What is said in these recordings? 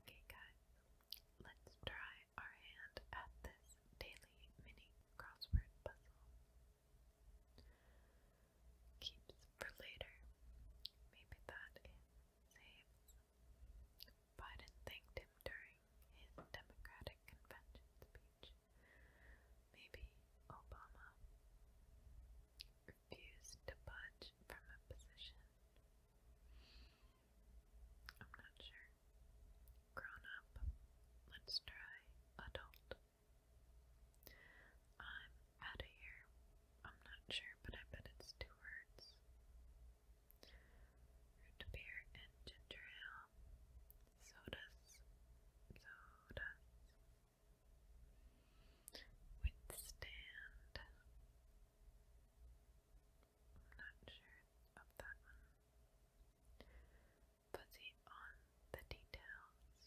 Okay, guys, let's try our hand at this daily mini crossword puzzle. Keeps for later. Maybe that is saves. Biden thanked him during his Democratic convention speech. Maybe Obama refused to budge from a position. I'm not sure. Grown up. Let's try adult. I'm out of here. I'm not sure, but I bet it's two words. Root beer and ginger ale. Sodas. Sodas. Withstand. I'm not sure of that one. Fuzzy on the details.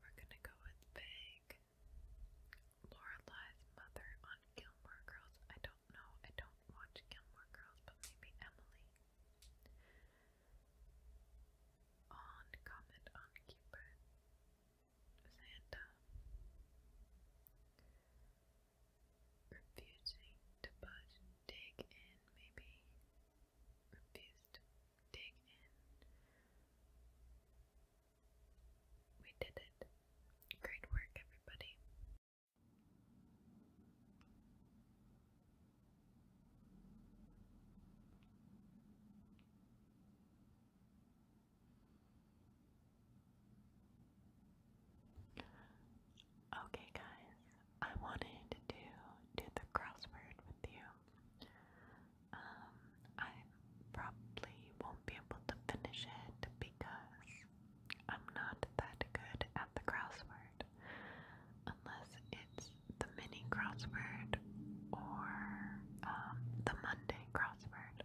We're gonna go with vague. Lorelai's mother on Gilmore Girls. I don't know. I don't watch Gilmore Girls, but maybe Emily. On comment on Cupid. Santa refusing to budge, dig in, maybe refuse dig in. We did it. Great work, everybody. Okay, guys, I wanted to do the crossword with you. Um, I probably won't be able to finish it because I'm not that good at the crossword unless it's the mini crossword or um, the Monday crossword.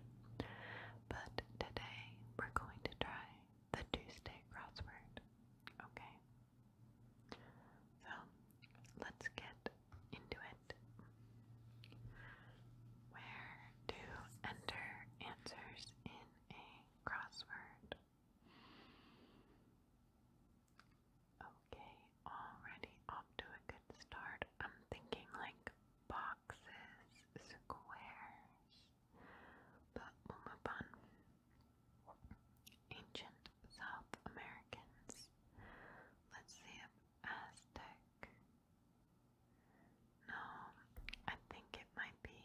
But today we're going to try the Tuesday crossword. Okay? So let's get into it. Where to enter answers in a crossword. Okay, already off to a good start. I'm thinking like boxes, squares, but we on. Ancient South Americans. Let's see Aztec. No, I think it might be.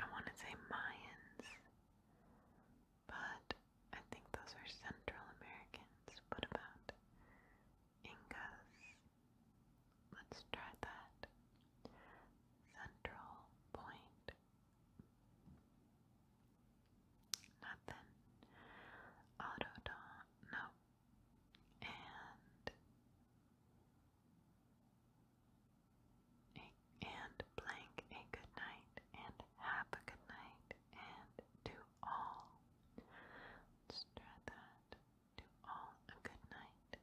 I want to say Mayans. But I think those are Central Americans. What about Incas? Let's try that. Central Point. Nothing. Autodon. No. And and blank a good night and have a good night and to all. Let's all a good night.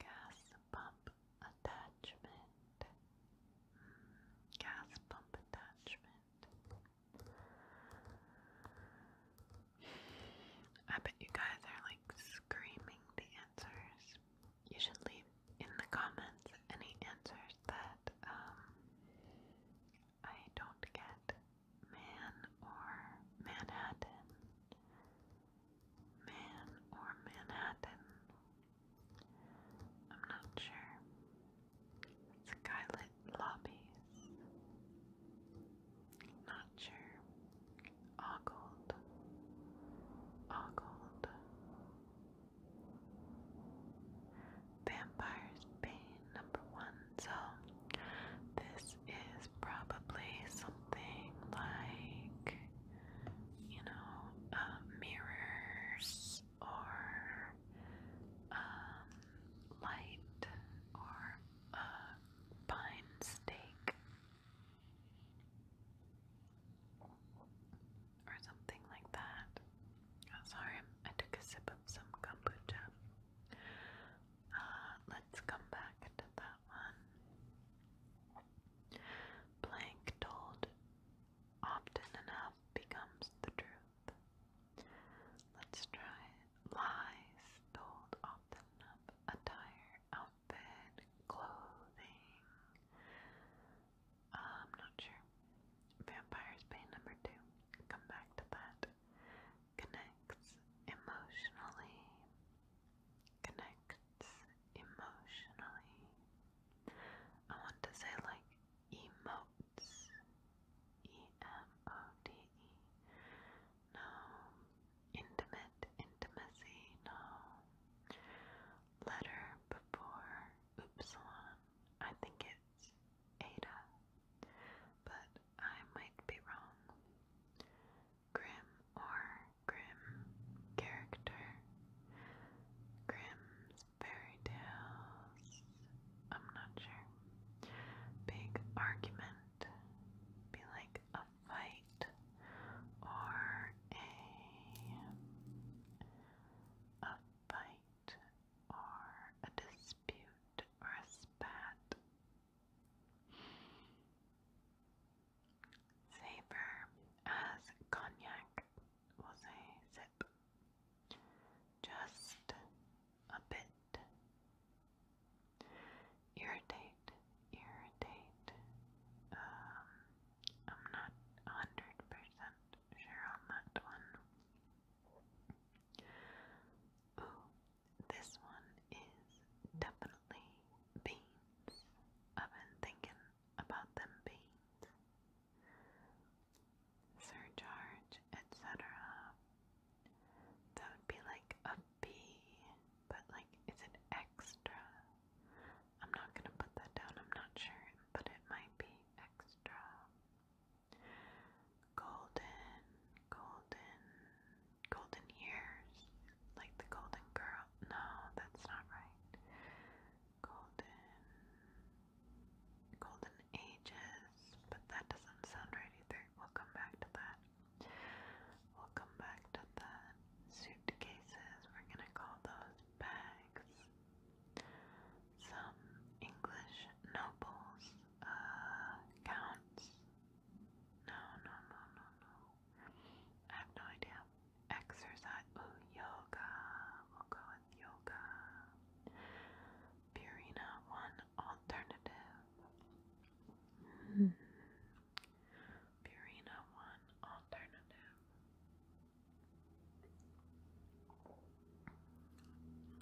Gas pump attachment. Mm, gas pump attachment. I bet you guys are like screaming the answers you should leave in the comments any answers that um, I don't get. Man or Manhattan. Man or Manhattan. I'm not sure. Skylit lobbies. Not sure. Ogled. Ogled. Vampire's pain number one. So this is probably something like you know uh, mirrors or um, light or a uh, pine stake or something like that. Oh, sorry, I took a sip of some kombucha. Uh, let's come back to that one. Blank told often enough becomes the truth. Let's try Lies told often enough. Attire, outfit, clothing. I'm um, not sure. Vampire's Pain number two. Come back to that. Connects emotionally. Connects emotionally. I want to say like emotes. E M O D E. No. Intimate intimacy. No letter before upsilon. I think it's eta, but I might be wrong. Grim or grim character. Grimm's fairy tales. I'm not sure. Big argument. Be like a fight or a, a fight or a dispute or a spat. Savor as cognac, we'll say sip. Just a bit. Irritate, irritate, um, I'm not 100% sure on that one. Ooh, this one is definitely beans. I've been thinking about them beans. Surcharge, etc. That would be like a B, but like, is it extra? I'm not going to put that down, I'm not sure, but it might be extra. Golden, golden, golden years, like the golden girl. No, that's not right. Golden, golden ages, but that doesn't sound right either. We'll come back to that. We'll come back to the suitcases. We're gonna call those bags. Some English nobles, uh, counts. No, no, no, no, no. I have no idea. Exercise. Ooh, yoga. We'll go with yoga. Purina, one alternative. Hmm. Purina One alternative.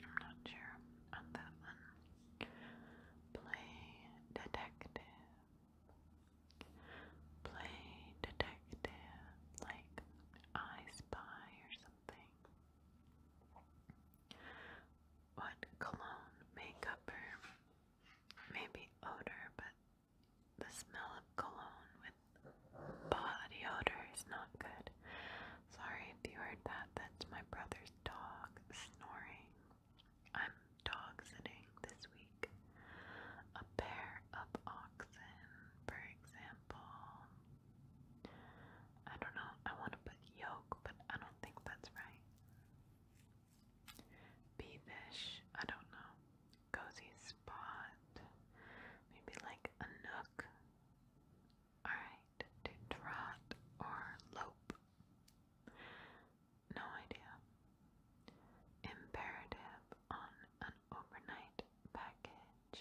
I'm not sure on that one. Play detective. Play detective, like I Spy or something. What cologne may Maybe odor, but the smell of cologne with body odor is not good. Sorry if you heard that. That's my brother's dog snoring. I'm dog sitting this week. A pair of oxen, for example. I don't know. I want to put yoke, but I don't think that's right. Beavish, I don't know. Cozy spot. Maybe like a nook. Alright, trot or lope. No idea. Imperative on an overnight package.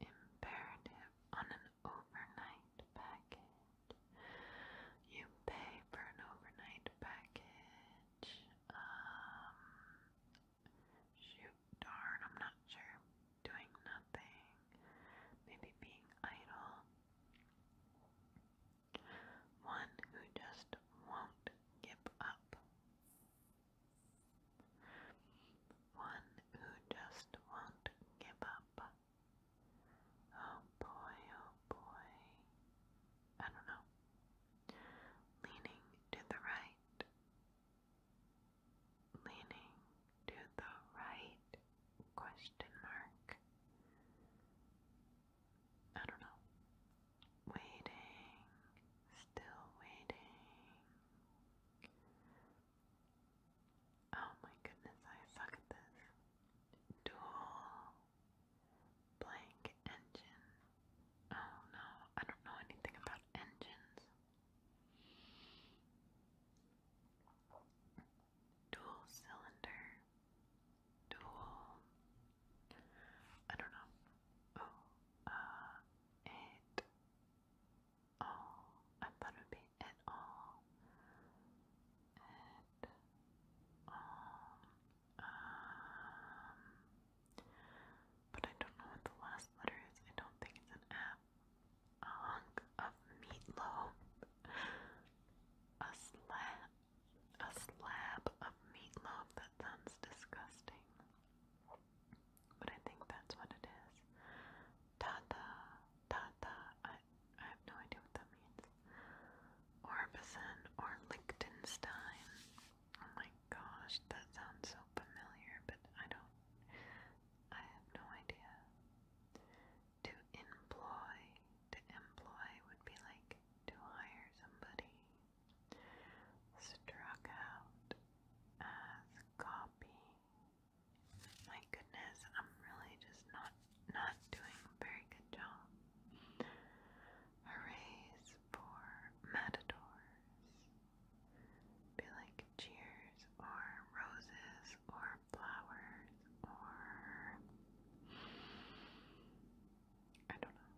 Imperative on an overnight package. You pay for an overnight package. Um, shoot, darn, I'm not sure. Doing nothing. Maybe being idle. One who just won't give up. One who just won't give up. Oh boy, oh boy. I don't know leaning to the right, leaning to the right, question mark. I don't know. Waiting, still waiting. Oh my goodness, I suck at this. Duel, Blank engine. Oh no, I don't know anything about engines. Dual cylinder. Dual. I don't know. Oh, uh, it all. Oh, I thought it would be it all. It um, um, but I don't know what the last letter is. I don't think it's an F. A hunk of meatloaf. A slab. A slab of meatloaf. That sounds disgusting. But I think that's what it is. Tata, tata. I I have no idea what that means. Orbison or Liechtenstein. Oh my gosh, that sounds so familiar, but I don't, I have no idea. To employ, to employ would be like to hire somebody. Struck out as copy. My goodness, I'm really just not not doing a very good job. Hoorays for matadors. Be like cheers or roses or flowers or I don't know.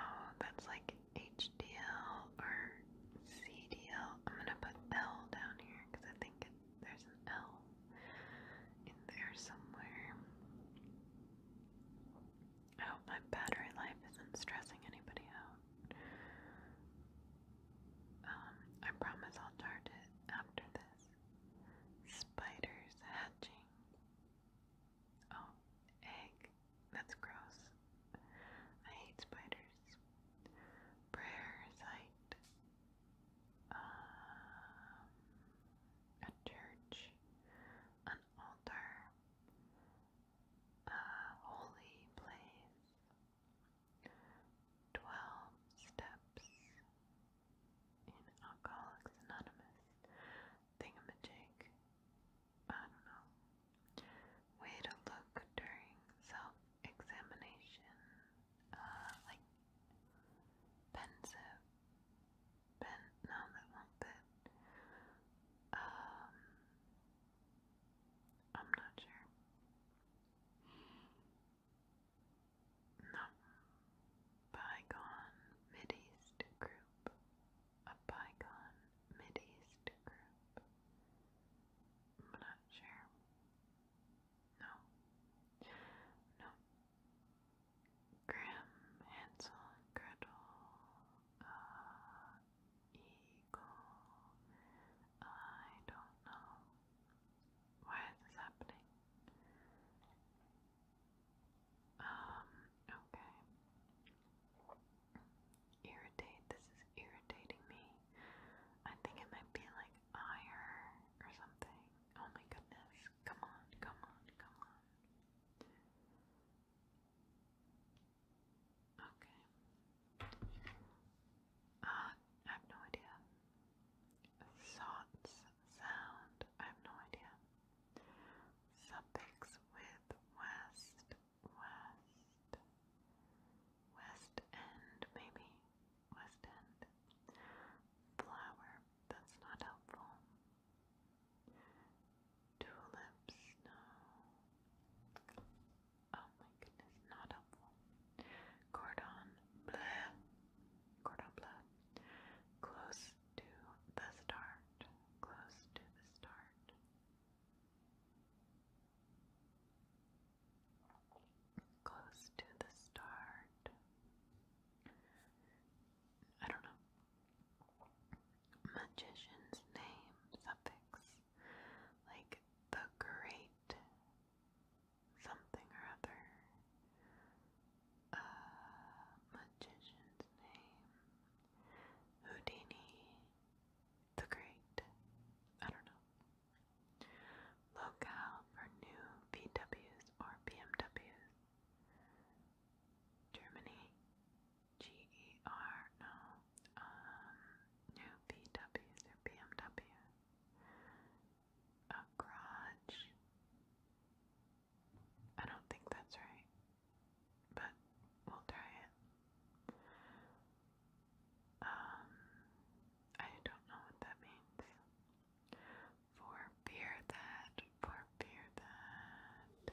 Oh, that's like HDL or CDL. am gonna put L down here because I think there's an L in there somewhere. I oh, my battery life isn't stressing anybody out. Um, I promise I'll charge it after this. Spiders hatching. Oh, egg. That's gross. I hate spiders. Prayer site um, a church, an altar, a holy place, twelve steps in Alcoholics Anonymous, thingamajig, I don't know, way to look during self examination, uh, like pensive, pen, no, that won't Um, I'm not sure. No. Bygone Mideast group. A bygone Mideast group. I'm not sure. No. No. Grim, Hansel, Gretel, uh, Eagle, I don't know. Why is this happening? Um, okay. Irritate, this is irritating me. I think it might be like iron or something. Oh my goodness. Come on, come on, come on. Okay. Uh, I have no idea. Sots sound. I have no idea. Suffix with west, west, west end, maybe. West End. Flower, that's not helpful. Tulips, no. Oh my goodness, not helpful. Cordon bleu. Cordon bleu. Close to the start. Close to the start close to the start. I don't know. Magician's name suffix like the great something or other. Uh, magician's name Houdini the Great. I don't know. Look for new VWs or BMWs. Germany, GER, no, um, new VWs or BMWs. A I don't think that's right, but we'll try it. Um, I don't know what that means. For fear that, for fear that.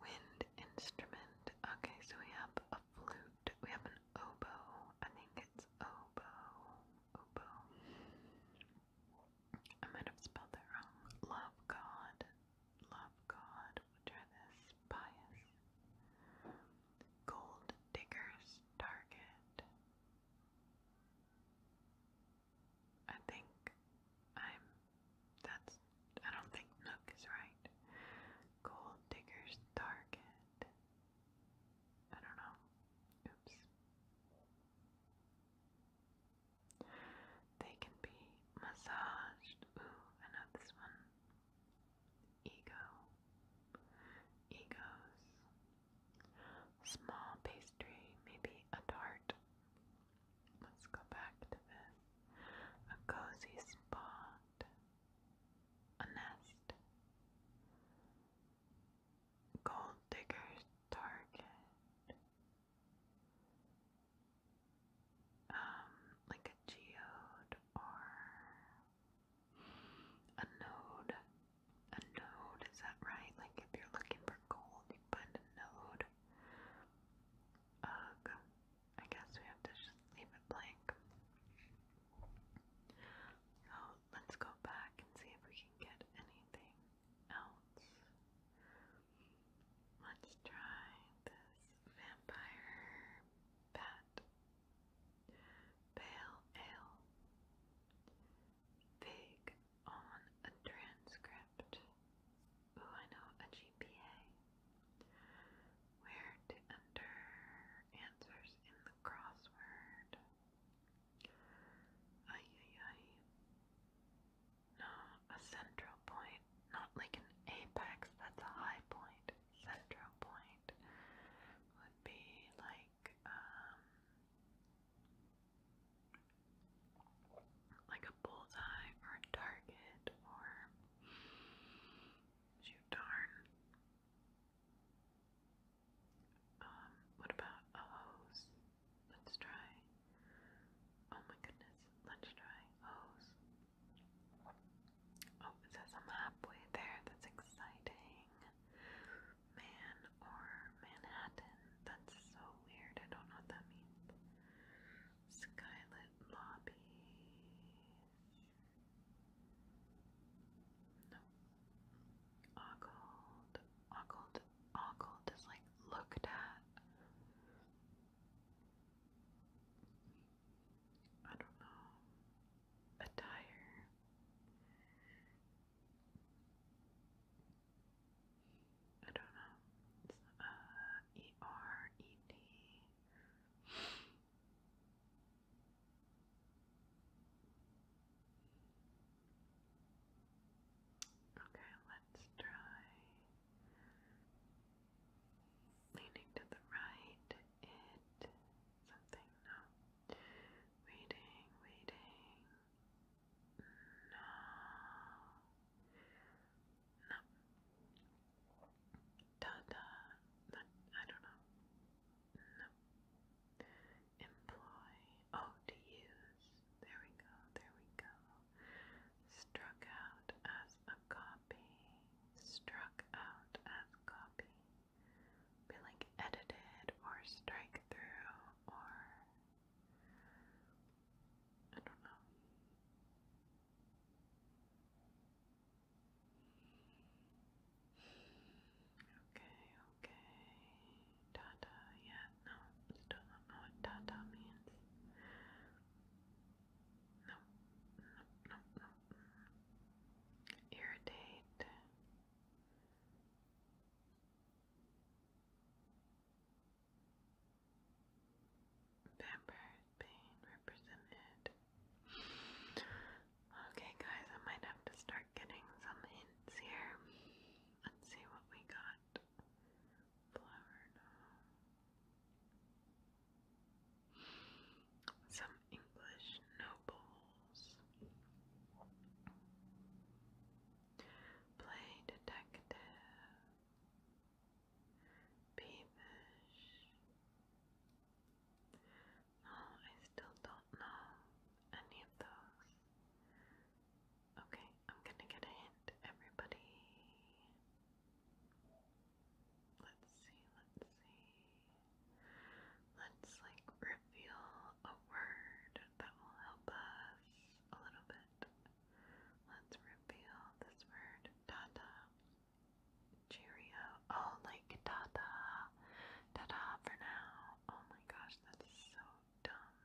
Wind instrument. Okay, so we have a flute. We have an oboe. I think it's oboe. Oboe. I might have spelled that wrong. Love God. Love God. try this. Pious. Gold Digger's Target. I think I'm. That's. I don't think Nook is right. Gold Digger's Target. I don't know. Oops. They can be massaged. Ooh, I know this one ego, egos. Small pastry, maybe a dart. Let's go back to this. A cozy spot, a nest. Gold digger's target um, like a geode or a node. A node, is that right? Like if you're looking for gold, you find a node. Ugh, I guess we have to just leave it blank. So oh, let's go back and see if we can get anything else. Let's try this Vampire Bat Pale Ale Fig on a transcript. Ooh, I know a GPA. Where to enter answers in the crossword. Ay ay No, a central point, not like an apex, that's a high point central point would be like um like a bullseye or a target or shoot darn. Um, what about a hose? Let's try. Oh my goodness, let's try hose. Oh, it says I'm halfway there. That's exciting. Man or Manhattan. That's so weird. I don't know what that means. Skylit Lobby. No. Ogled. Ogled. Ogled is like looked at. I don't know, attire. I don't know. It's uh, Okay, let's try Leaning to the right, it something, no. Waiting, waiting. No. No. Da No, I don't know. No. Employ. Oh, to use. There we go, there we go struck out as a copy, struck out as copy, be like edited or strike through or I don't know. Okay, okay. Tata, yeah, no, still don't know what tata means. No, no, no, no. Irritate. Vampire pain represented. Okay, guys, I might have to start getting some hints here. Let's see what we got flower Some English nobles play detective, peevish. No, oh, I still don't know any of those. Okay, I'm gonna get a hint, everybody. Let's see, let's see. Let's like reveal a word that will help us a little bit. Let's reveal this word. Tata. Cheerio. Oh, like tata. Tata for now. Oh my gosh, that's so dumb.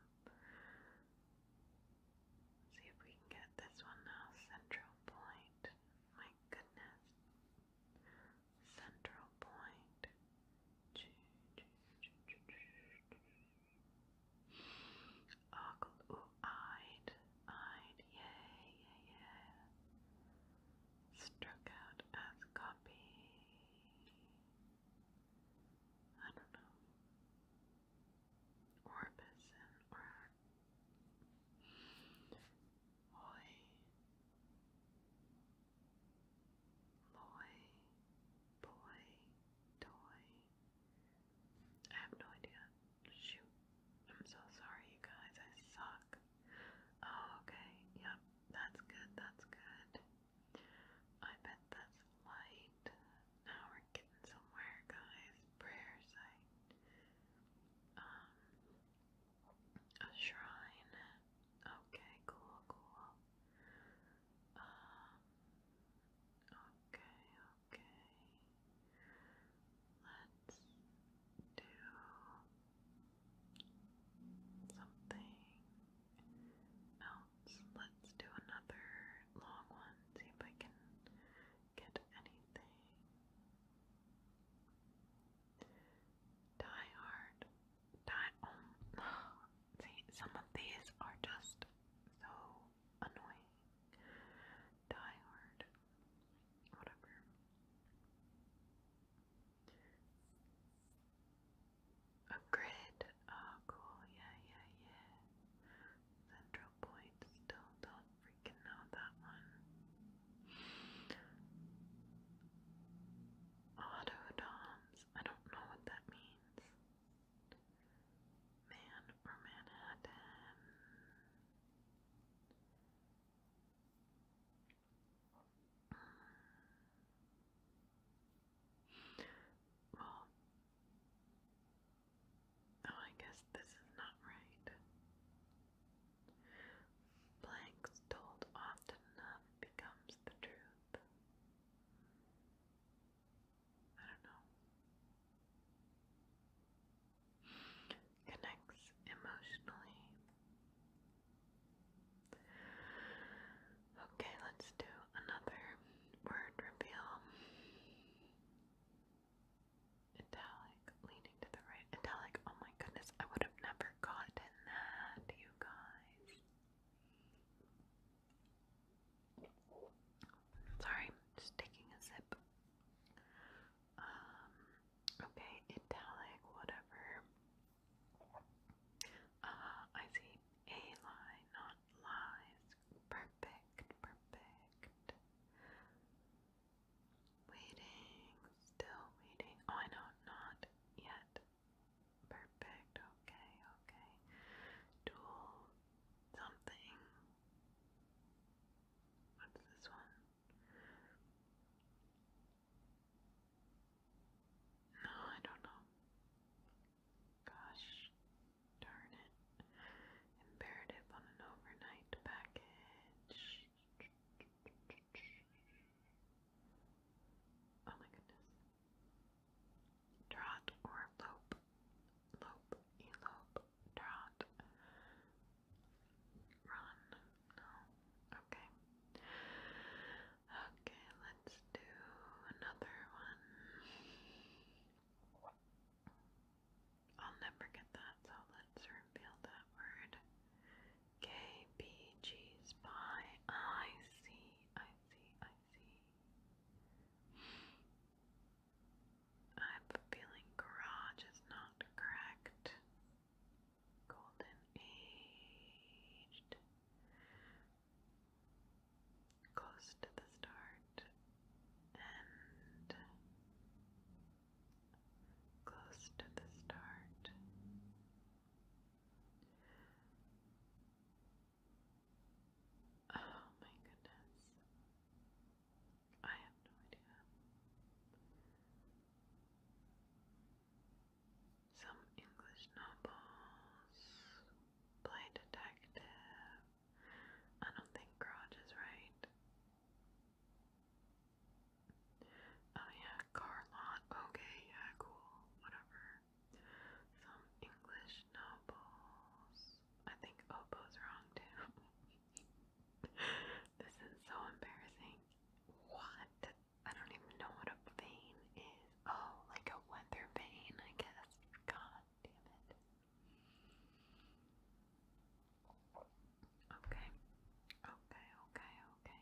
See if we can get this one now. Central point. My goodness. Central point. Ogle. Ooh, eyed. Eyed. yay, yay. Struck out as copy. I don't know. Orbison or Hoy Loy Boy Toy. I have no idea. Shoot. I'm so sorry you guys, I suck. Oh okay, yep, that's good, that's good. I bet that's light now we're getting somewhere, guys. Prayer um, a shrine. Okay, cool, cool. Um, okay, okay. Let's do something else. Let's do another long one. See if I can get anything. Die hard. Die um, see some of these are just so annoying. Die hard. Whatever. A Oh cool, yeah, yeah, yeah. Central zero point. Still don't freaking know that one. Autodoms. I don't know what that means. Man or Manhattan. Hmm. Well, Oh, I guess this is not right. Blanks told often enough becomes the truth. I don't know. Connects emotionally. Okay, let's do another word reveal. Italic, leaning to the right. Italic, oh my goodness, I would have never gotten that, you guys. Sorry, just taking a sip. Um, okay, italic, whatever. Uh, I see a lie, not lies. Perfect, perfect. Waiting, still waiting. Oh, I know, not yet. Perfect, okay, okay. Dual something. What's this one? No, I don't know. Gosh darn it. Imperative on an overnight package. Oh my goodness. Trot or lope. Lope, elope, trot. Run. No. Okay. Okay, let's do another one. I'll never get that, so let's reveal that word. K B G see, I see, I see. I have feeling garage is not correct. Golden aged close to the start and close to the start. Oh my goodness. I have no idea. Some English novels, play detective, I don't think garage is right. Oh yeah, car lot. Okay, yeah, cool. Whatever. Some English nobles. I think Oppo's wrong too. this is so embarrassing. What? I don't even know what a vane is. Oh, like a weather vane, I guess. God. Damn it. Okay. Okay, okay, okay.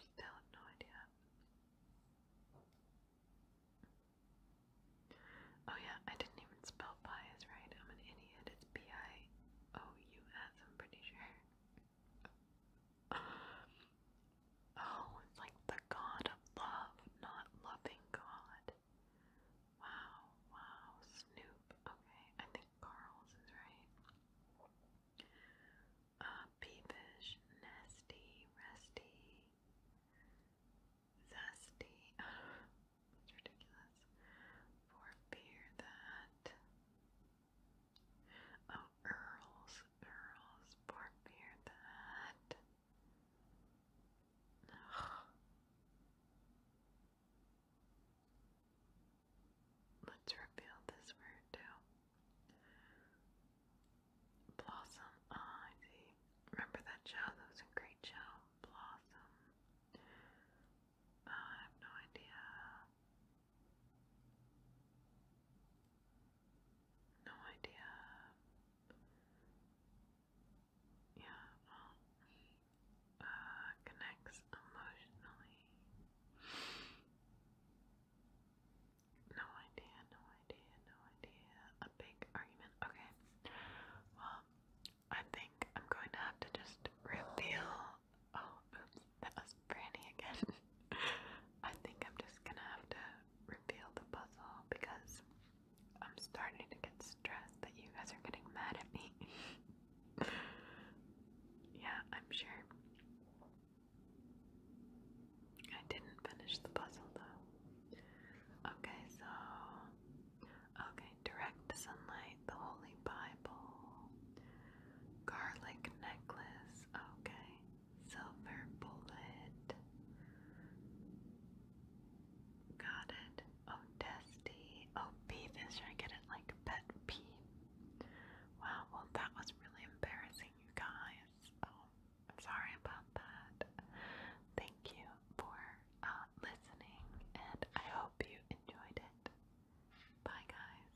Still no idea. Oh yeah, I didn't even spell bias right. I'm an idiot. It's B-I-O-U-S, I'm pretty sure. Oh, it's like the God of love, not loving God. Wow, wow, Snoop. Okay, I think Carl's is right. Uh, peevish, nasty, resty, zesty. That's ridiculous. For fear that. Oh, Earls, Earls, Bartbeer the Hat. Ugh. Let's reveal this word too. Blossom, ah, I see. Remember that show? That was great show. Blossom. Ah, I have no idea. No idea. Yeah, well, uh, connects emotionally. No idea, no idea, no idea. A big argument. Okay. Well, I think I'm going to have to just reveal. Oh, that was Franny again. I think I'm just gonna have to reveal the puzzle because I'm starting to get stressed that you guys are getting mad at me. yeah, I'm sure. I didn't finish the puzzle though. Okay, so. Okay, direct sunlight, the Holy Bible, garlic necklace. Okay, Silver Bullet. Got it. Oh, Dusty. Oh, I get it like pet Wow, well, that was really embarrassing, you guys. Oh, I'm sorry about that. Thank you for uh, listening, and I hope you enjoyed it. Bye, guys.